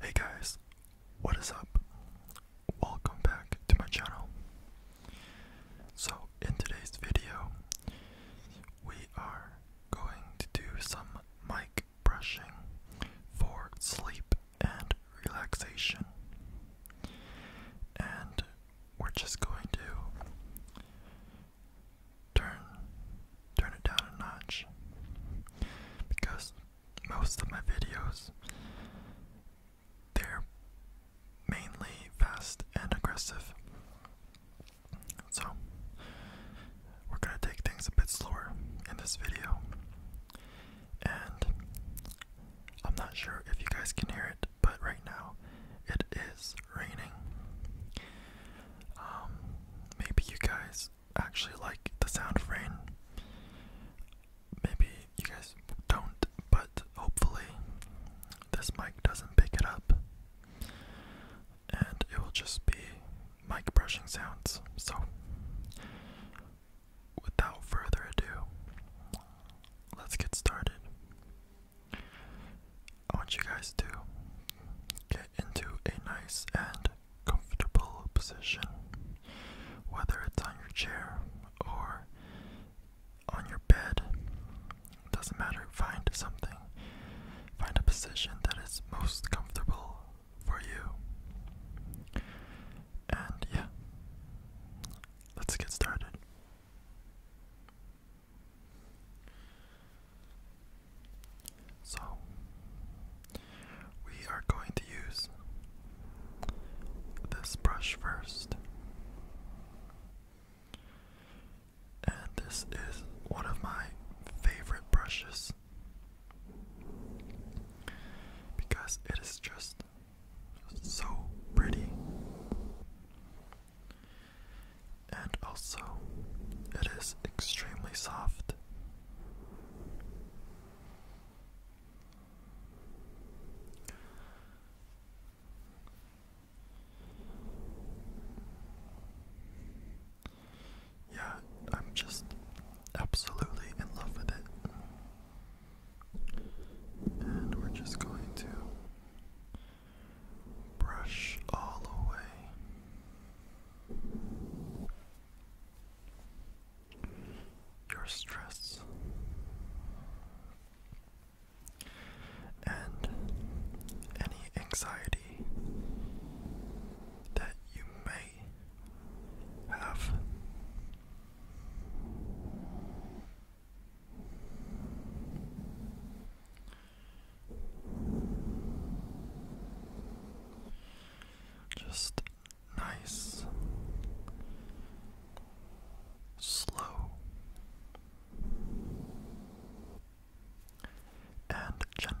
Hey guys, what is up? Welcome back to my channel. So, in today's video, we are going to do some mic brushing for sleep and relaxation. And we're just going to turn turn it down a notch because most of my videos they're mainly fast and aggressive. So we're gonna take things a bit slower in this video. And I'm not sure if you guys can hear it, but right now it is raining. Um, maybe you guys actually like the sound of rain. Maybe you guys don't, but hopefully this mic doesn't pick it up. And it will just be mic brushing sounds. So, without further ado, let's get started. I want you guys to get into a nice and comfortable position, whether it's on your chair or on your bed. doesn't matter, find something. Find a position that is most comfortable for you. And yeah, let's get started. So, we are going to use this brush first. And this is one of my favorite brushes because it is just so pretty and also it is extremely soft. Yeah, I'm just absolutely in love with it. And we're just going to brush all away your stress and any anxiety that you may have. Just nice, slow, and gentle.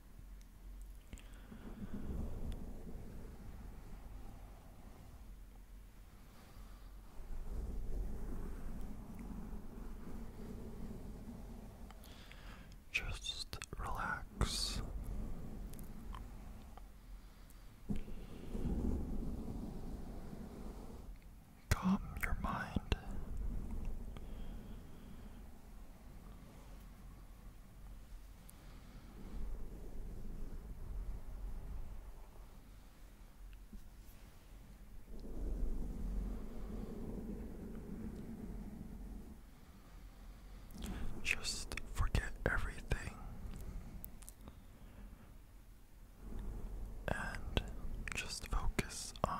Just relax. Calm your mind. Just forget everything and just focus on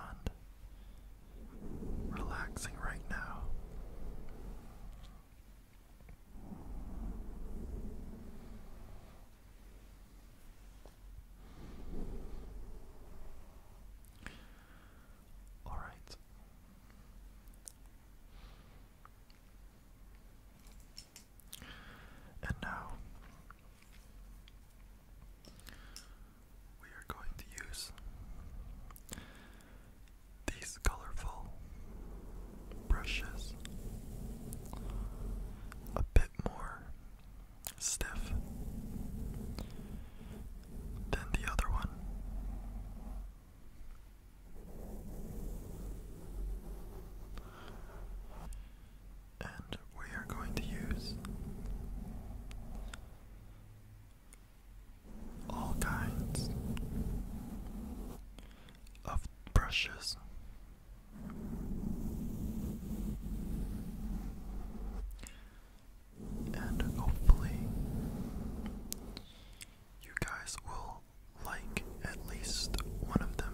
relaxing right now. All right. And now we are going to use these colorful brushes a bit more stiff than the other one. And we are going to use all kinds of brushes. And hopefully, you guys will like at least one of them.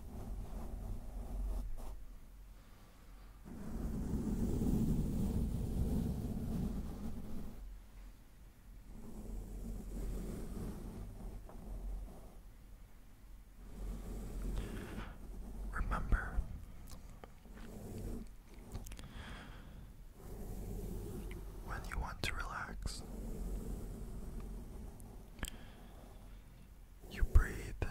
Remember, when you want to relax, you breathe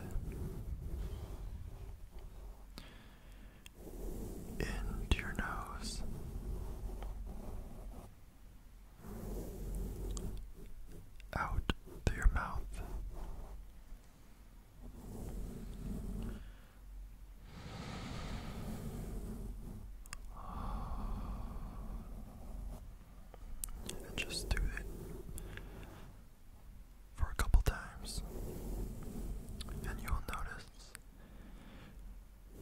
into your nose. Out through your mouth and just do it for a couple times, and you will notice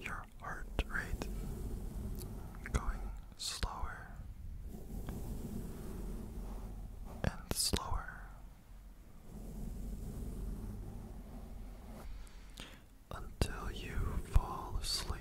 your heart rate going slower and slower until you fall asleep.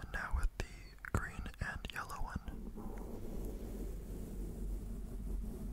And now with the green and yellow one.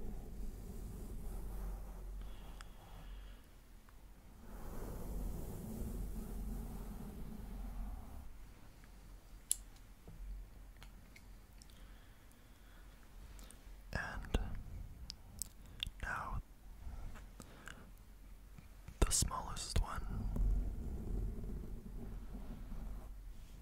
And now the smallest one.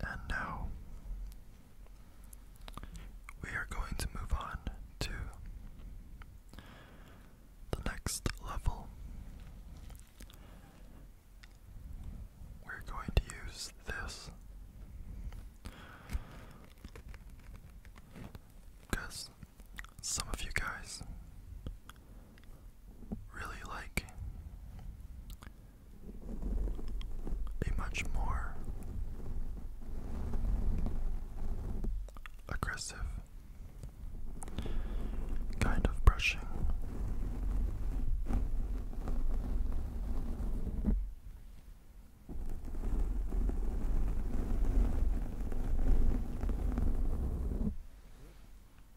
And now we are going to move on to the next level. We're going to use this because some of you guys really like be much more aggressive kind of brushing.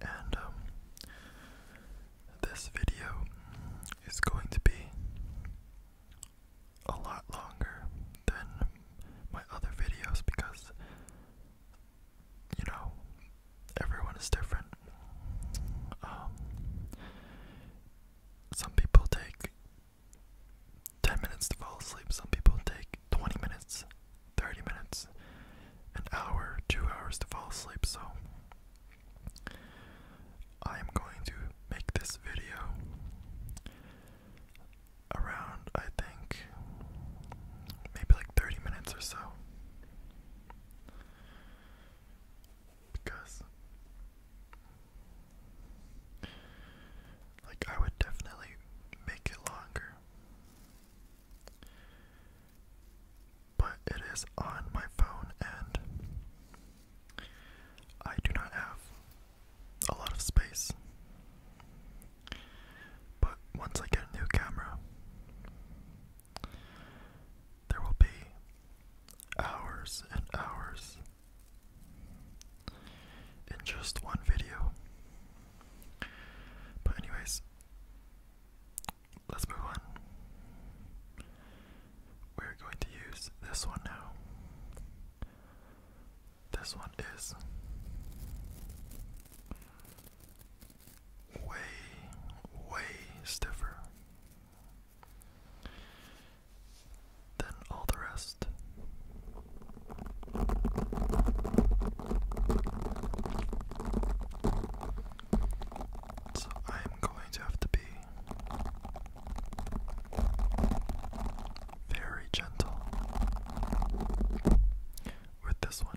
And um, this video is going to be a lot longer than my other videos because you know everyone is different. Um, some people take 10 minutes to fall asleep, some people take 20 minutes, 30 minutes, an hour, two hours to fall asleep. So, I am going to make this video around, I think, maybe like 30 minutes or so because like I would definitely make it longer. But it is on my phone and I do not have a lot of space. But once I get a new camera, there will be hours and hours in just one video. But, anyways, let's move on. We're going to use this one now. This one is way, way stiffer than all the rest. So I am going to have to be very gentle with this one.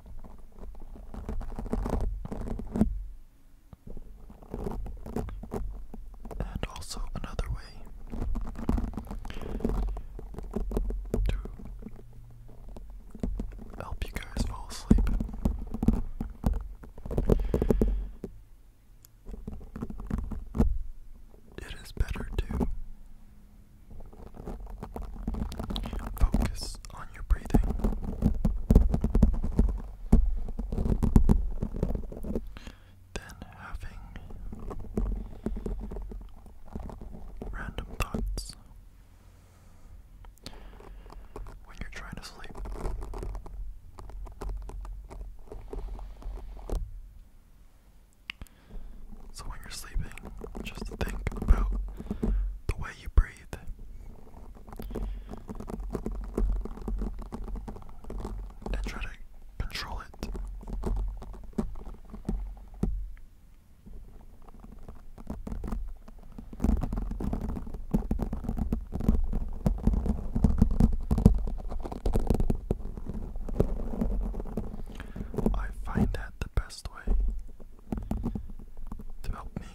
And also another way to help you guys fall asleep it is better to focus focus on your breathing. Then having random thoughts when you're trying to sleep. So when you're sleeping, just think about the way you breathe. And try to control it. I find that the best way to help me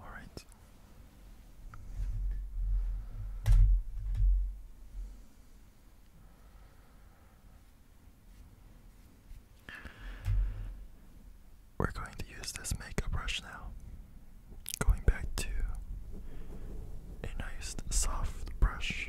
All right. We're going to use this makeup brush now. Going back to a nice soft brush.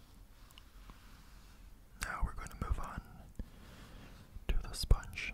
Now we're going to move on to the sponge.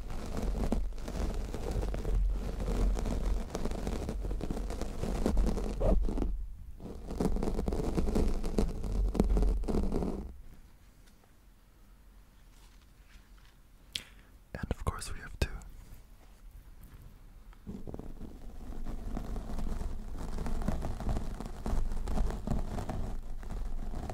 And of course, we have two.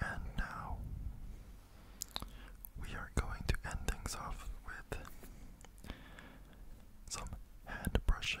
And now we are going to end things off with some hand brushing.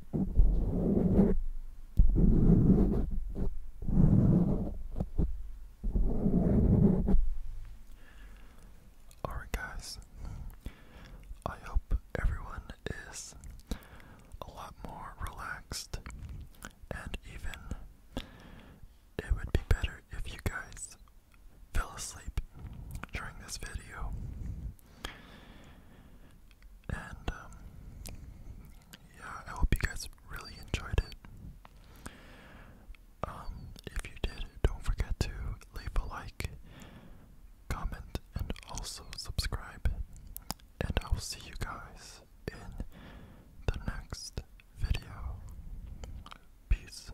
Alright, guys, I hope everyone is a lot more relaxed, and even it would be better if you guys fell asleep during this video. And um, yeah, I hope you guys really enjoyed it. Um, if you did, don't forget to leave a like, comment, and also subscribe. And I will see you guys in the next video. Peace.